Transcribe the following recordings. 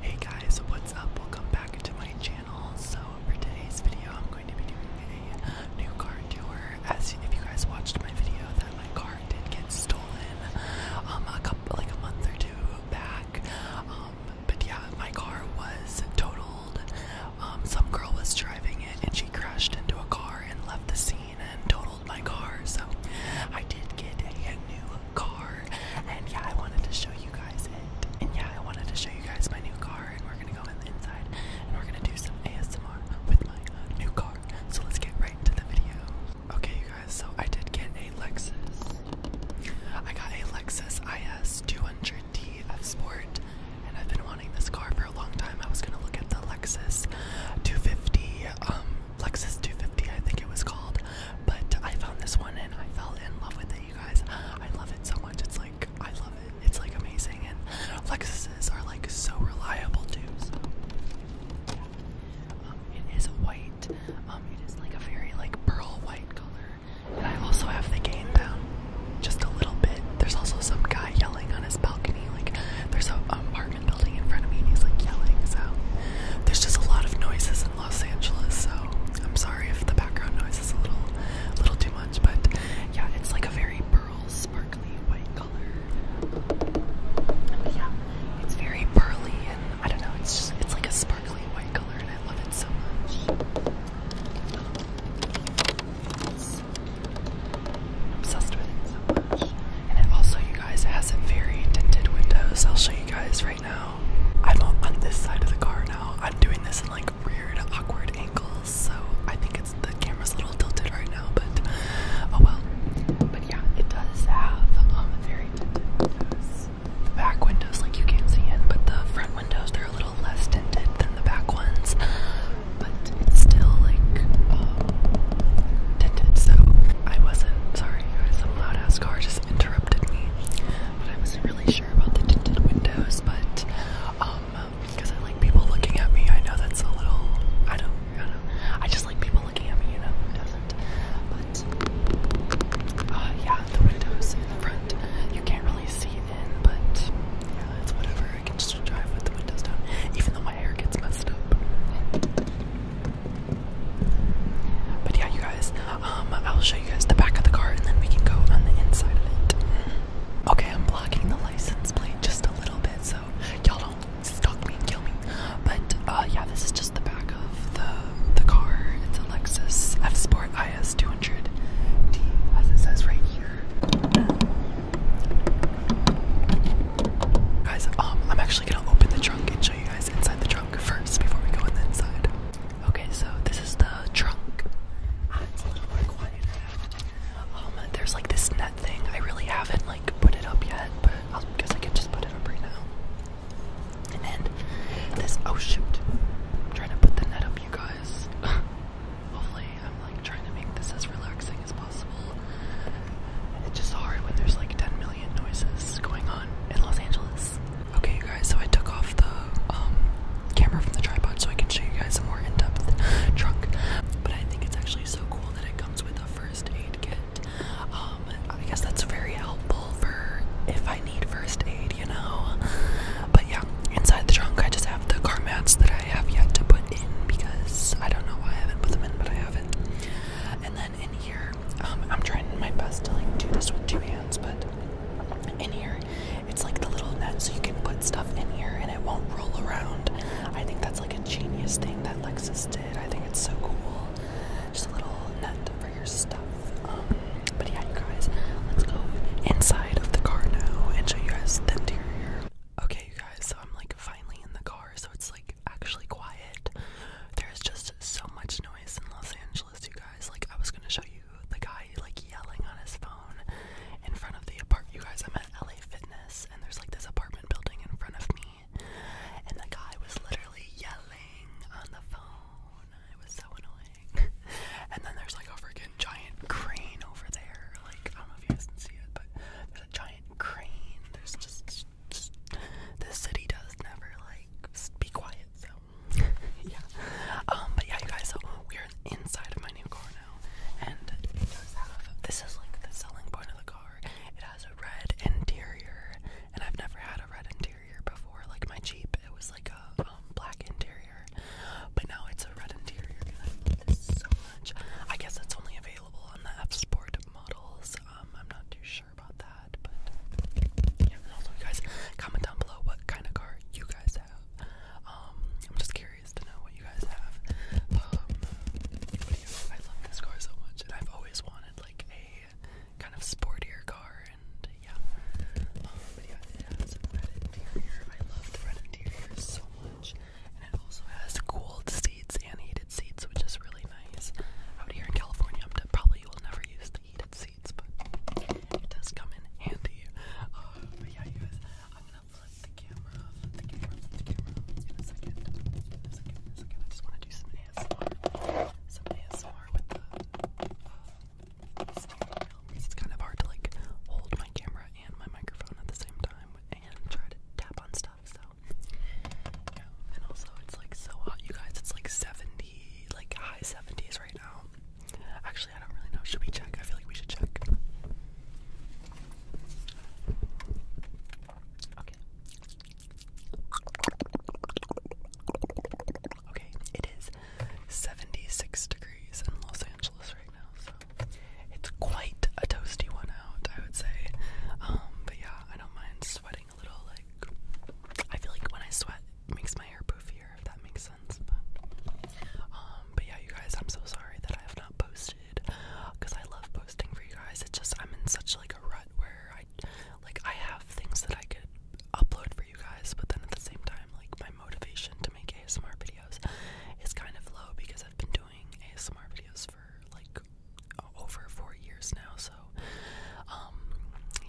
Hey guys, what's up? Welcome back to my channel. So for today's video, I'm going to be doing a new car tour. As if you guys watched my video, that my car did get stolen, um, a couple like a month or two back. Um, but yeah, my car was totaled. Um, some girl was driving it, and she crashed into a car and left the scene and totaled my car. So I did get a new car. And yeah, I wanted to show you guys it. And yeah, I wanted to show you guys my new car. And we're gonna go in the inside and we're gonna do some ASMR with my uh, new car. So let's get right into the video. Okay, you guys, so I did get a Lexus. I got a Lexus IS 200 F Sport, and I've been wanting this car for a long time. I was gonna look at the Lexus 250 um, Lexus 250, I think it was called. But I found this one and I fell in love with it, you guys. I love it so much. It's like, I love it. It's like amazing. And Lexuses are like so reliable too. So, um, it is white. Um, it is like a very like pearl white color. And I also have the gain down just a little bit. There's also some guy yelling on his balcony. Like, there's a um, apartment building in front of me and he's like yelling. So, there's just a lot of noises Los Angeles, so I'm sorry if the background noise is a little, little too much. But yeah, it's like a very pearl, sparkly white color. yeah, it's very pearly, and I don't know. It's just it's like a sparkly white color, and I love it so much. obsessed with it so much and it also, you guys, has a very tinted windows. I'll show you guys right now. I'm on this side of the car now. I'm doing this in like weird, awkward angles, so I think it's the camera's a little tilted right now, but oh well. But yeah, it does have um very tinted windows. The back windows, like you can't see in, but the front windows they're a little less tinted than the back ones. But it's still like um, tinted, so I wasn't sorry Sorry guys, some loud ass car just interrupted me. But I wasn't really sure about the tinted windows, but um because I like people looking at me. I know that's a little I don't I don't I just like people looking at me, you know, who doesn't? But uh yeah, the windows in the front you can't really see in, but yeah, it's whatever. I can just drive with the windows down, even though my hair gets messed up. But yeah, you guys, um, I'll show you guys the back of the car, and then we can go on the inside of it. Okay, I'm blocking the license plate just a little bit, so y'all don't stalk me and kill me. But uh, yeah, this is just the back of the the car. It's a Lexus F Sport IS 200D, as it says right here. Guys, um, I'm actually gonna open the trunk and show you guys inside the trunk first before we go on the inside. Okay, so this is the trunk. Oh there's like this net thing. I really haven't like put it up yet, but I guess I can just put it up right now. And this. Oh shoot! I'm trying to put the net up, you guys. Hopefully, I'm like trying to make this as relaxing as possible. It's just hard when there's like 10 million noises going on in Los Angeles. Okay, you guys, so I took off the um, camera from the tripod so I can show you guys a more in depth truck. But I think it's actually so cool that it comes with a first aid kit. Um, I guess that's very helpful for if I need first aid, you know? But yeah, inside the trunk, I just have the car mats that I have yet to put in because I don't know why I haven't put them in, but I haven't. And in here, um, I'm trying my best to like do this with two hands, but in here, it's like the little net so you can put stuff in here and it won't roll around. I think that's like a genius thing that Lexus did. I think it's so cool. Just a little net for your stuff. Um, but yeah, you guys, let's go inside of the car now and show you guys the interior. Okay, you guys, so I'm like finally in the car, so it's like actually quiet. There's just so much noise in Los Angeles, you guys. Like I was gonna show you the guy like yelling on his phone in front of the apartment. You guys, I'm at LA Fitness, and there's like this apartment building in front of me, and the guy was literally yelling on the phone. It was so annoying. and then there's like a freaking giant crane over there. Like I don't know if you guys can see it, but there's a giant crane. There's just this city does never like be quiet. So yeah. Um, but yeah, you guys. So we're inside of my new car now, and This is like the selling point of the car. It has a red interior, and I've never had a red interior before. Like my Jeep, it was like a um, black interior, but now it's a red interior. And I love this so much. I guess it's only available on the F Sport models. Um, I'm not too sure about that, but also, guys comment down below what kind of car you guys have. Um, I'm just curious to know what you guys have. Um, I love this car so much, and I've always wanted like a kind of sportier car, and yeah. it has red interior. I love the red interior so much. And it also has cooled seats and heated seats, which is really nice. Out here in California, I'm probably will never use the heated seats, but it does come in handy. Uh, but yeah, guys, I'm gonna flip the camera, flip the camera, the camera in a second. second, second. I just want to do some ASMR. Some ASMR with the steering uh, wheel. It's kind of hard to like hold my camera and my microphone at the same time and try to tap on stuff. So yeah, and also it's like so hot, you guys. It's like 70, like high 70s right now. Actually, I don't really know. Should we check? I feel like we should check. Okay. Okay, it is 76 degrees in Los Angeles right now, it's quite a toasty one out, I would say. Um, but yeah, I don't mind sweating a little. Like, I feel like when I sweat, it makes my hair poofier, if that makes sense. but um, yeah, you guys, I'm so sorry that I have not posted, because I love posting for you guys. It's just I'm in such like a rut where I, like, I have things that I could upload for you guys, but then at the same time, like, my motivation to make ASMR videos is kind of low because I've been doing doing ASMR videos for like over four years now, so um,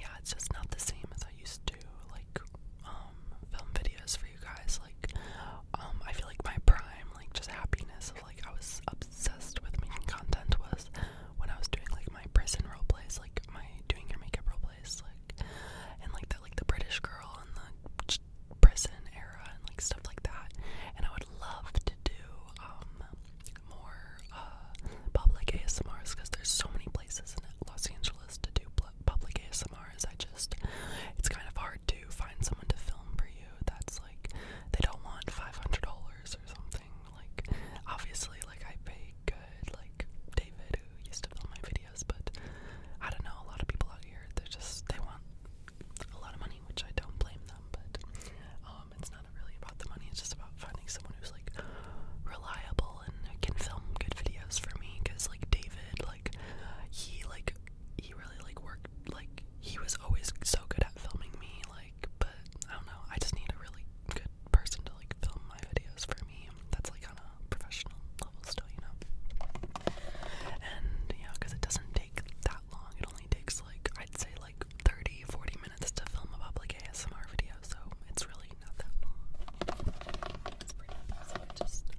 yeah, it's just not the same as I used to do. like um film videos for you guys. Like, um, I feel like my prime, like just happiness of like I was obsessed with making content was when I was doing like my prison role plays, like my doing your makeup role plays, like and like that, like the British girl and the prison era and like stuff like that. And I would love to do um more uh public ASMRs because there's so many places in Los Angeles to do public ASMRs. I just it's kind of hard to find someone to film for you. That's like they don't want five hundred dollars or something. Like obviously, like I pay good. Like David who used to film my videos, but I don't know. A lot of people out here they just they want a lot of money, which I don't blame them, but um, it's not really about the money, it's just about finding someone who's like reliable and can film good videos for me because like David, like he like he really like worked like he was always so good at filming me like but I don't know, I just need a really good person to like film my videos for me. That's like on a professional level still, you know. And yeah, because it doesn't take that long. It only takes like I'd say like 30, 40 minutes to film a public ASMR video, so it's really not that long.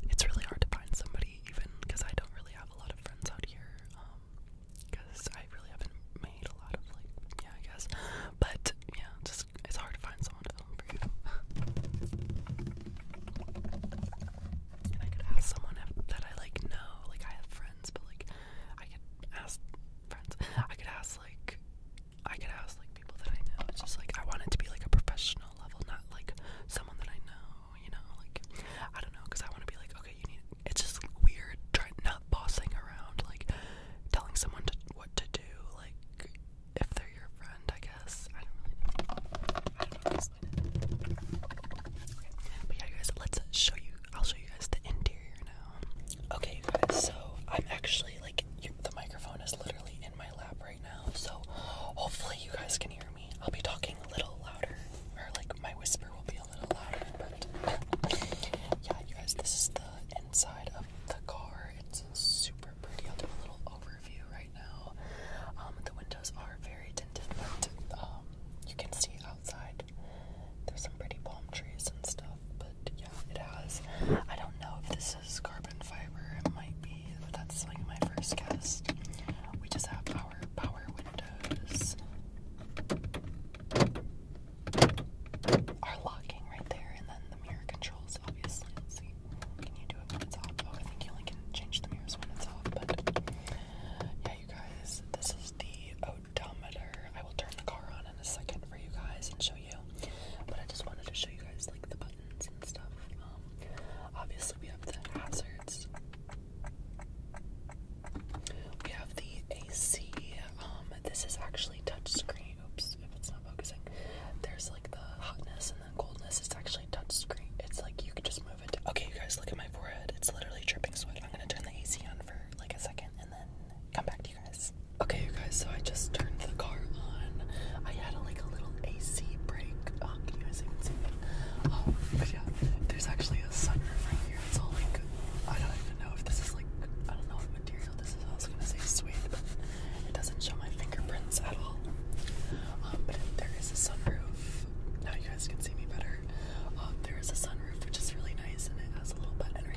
it's really hard to find somebody even because I don't really have a lot of friends out here. Um because I really haven't made a lot of like yeah, I guess. But yeah, just it's hard to find someone to film for you and I could ask someone that I like know. Like I have friends, but like I could ask friends. I could ask like I could ask like people that I know. It's just like I want it to be like a professional level, not like someone that I know. You know, like I don't know, cause I want to be like okay, you need. It's just weird, trying not bossing around, like telling someone to, what to do, like if they're your friend, I guess. I don't really But yeah, guys, let's show you. I'll show you guys the interior now. Okay, guys, so I'm actually like, the microphone is literally in my lap right now, so hopefully you guys can hear me. I'll be talking a little louder, or like my whisper will be a little louder, but yeah, you guys, this is the inside of the car. It's super pretty. I'll do a little overview right now. Um, the windows are very tinted, but um, you can see outside there's some pretty palm trees and stuff. But yeah, it has. I don't know if this is carbon fiber. It might be, but that's like my first guess. We just have power. power windows. Are locking right there, and then the mirror controls, obviously. Can you do it when it's off? Oh, I think you only can change the mirrors when it's off, but yeah, you guys, this is the odometer. I will turn the car on in a second for you guys and show you, but I just wanted to show you guys like the buttons and stuff. Um, obviously, we have the hazards, we have the AC. Um, this is actually touch screen. Oops, there's like the hotness and the coldness. It's actually touch screen. It's like you can just move it. Okay, you guys, look at my forehead. It's literally dripping sweat. I'm gonna turn the AC on for like a second and then come back to you guys. Okay, you guys. So I just turned the car on. I had like a little AC break. Oh, can you guys even see me? Oh, but yeah, there's actually a sunroof right here. It's all like I don't even know if this is like I don't know what material this is. also gonna say suede, but it doesn't show my fingerprints at all. Um, but there is a sunroof. Now you guys can see me better. Um, there is a sunroof, which is really nice, and it has a little button here,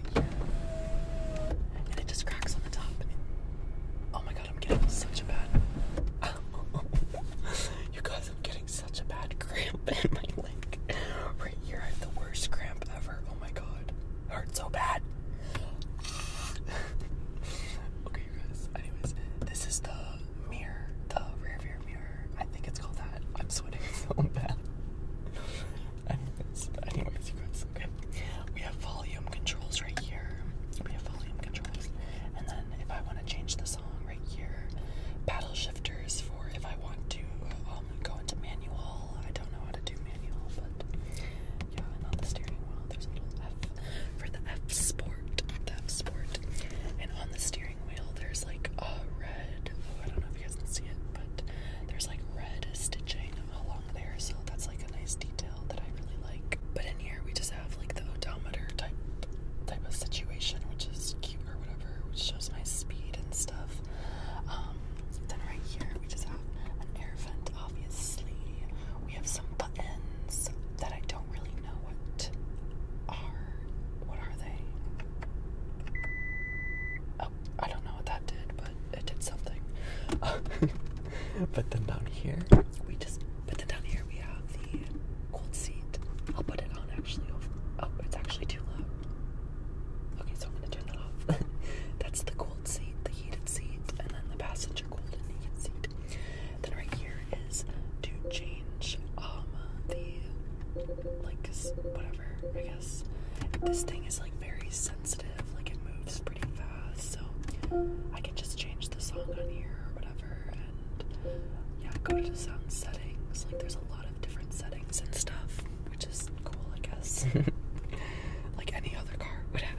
and it just cracks on the top. oh my god, I'm getting such a bad. you guys, I'm getting such a bad cramp in my leg. Right here, I have the worst cramp ever. Oh my god, hurts so bad okay, guys. Anyways, this is the mirror, the rear mirror. I think it's called that. I'm sweating so bad. anyways, anyways, you guys. Okay, we have volume controls right here. We have volume controls, and then if I want to change the song right here, paddle shifters for if I want to um, go into manual. I don't know how to do manual, but yeah, and on the steering wheel there's a little F for the F Sport. F Sport. And on the steering wheel there's like a red, oh, I don't know if you guys can see it, but there's like red stitching along there, so that's like a nice detail that I really like. But in here we just have like the odometer type type of situation, which is cute or whatever, which shows my speed and stuff. Um, then right here we just have an air vent obviously, we have some buttons that I don't really know what are. What are they? Oh, I don't know what that did, but it did something. but then down here, we just. But then down here, we have the cold seat. I'll put it on actually. Oh, it's actually too loud. Okay, so I'm gonna turn that off. That's the cold seat, the heated seat, and then the passenger cold and heated seat. Then right here is to change um the like whatever I guess. This thing is like very sensitive, like it moves pretty fast, so I can just change the song on here or whatever, and yeah, go to sound settings. Like there's a lot of different settings and stuff, which is cool, I guess. like any other car would have.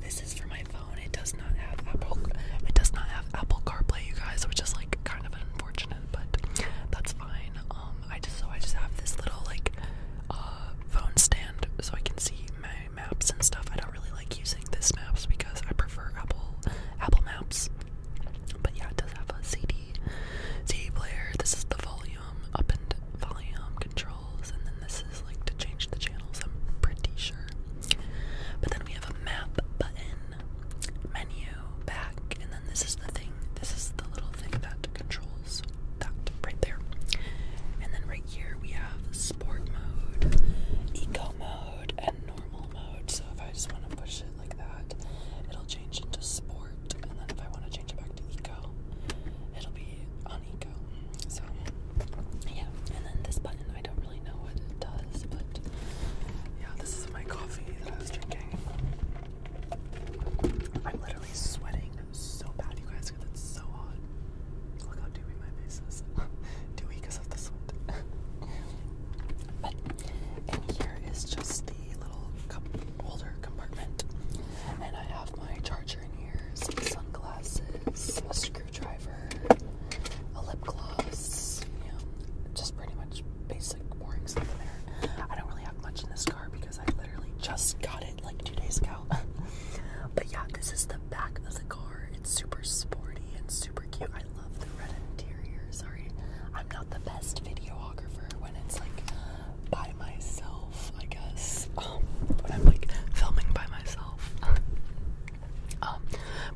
This is for my phone. It does not have Apple. It does not have Apple CarPlay, you guys, which is like kind of unfortunate, but that's fine. Um, I just so I just have this little like uh phone stand so I can see my maps and stuff. I don't really like using this maps because I prefer Apple Apple Maps. But yeah, it does have a CD CD player. This is the volume up and volume control and then this is like to change the channels, I'm pretty sure. But then we have a map button, menu, back, and then this is the thing, this is the little thing that controls that right there. And then right here we have sport mode, eco mode, and normal mode. So if I just want to push it like that, it'll change into sport, and then if I want to change it back to eco, it'll be on eco. So yeah, and then this button I don't really know what it does, but yeah, this is my coffee that I was drinking. I'm literally sweating so bad, you guys, because it's so hot. Look how dewy my face is. dewy because of the sweat. but and here is just the little cup older compartment. And I have my charger in here, some sunglasses, a screwdriver, a lip gloss, you know, just pretty much basic boring stuff in there. I don't really have much in this car because I literally just got it like two days ago. but yeah, this is the back of the car. It's super sporty and super cute. I love the red interior. Sorry, I'm not the best videographer when it's like by myself, I guess. Um, when I'm like filming by myself. Um,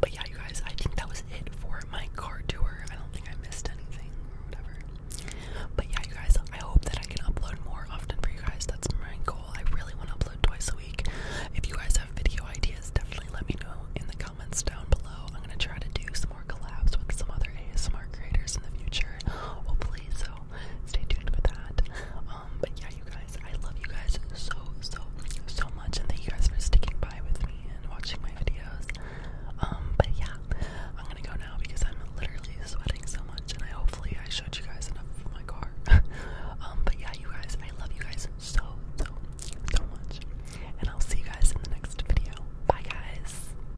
but yeah, you guys, I think that was it for my car tour. I don't think I missed anything or whatever. But yeah, you guys, I hope that I can upload more often for you guys. That's my goal. I really want to upload twice a week. If you guys have video ideas, definitely let me know in the comments down below. I'm gonna try to do some more collabs with some other ASMR creators in the future. Hopefully, so stay tuned for that. Um, but yeah, you guys, I love you guys so, so, so much, and thank you guys for sticking by with me and watching my videos. Um, but yeah, I'm gonna go now because I'm literally sweating so much, and I hopefully I showed you guys enough of my car. Um, but yeah, you guys, I love you guys so, so, so much, and I'll see you guys in the next video. Bye, guys.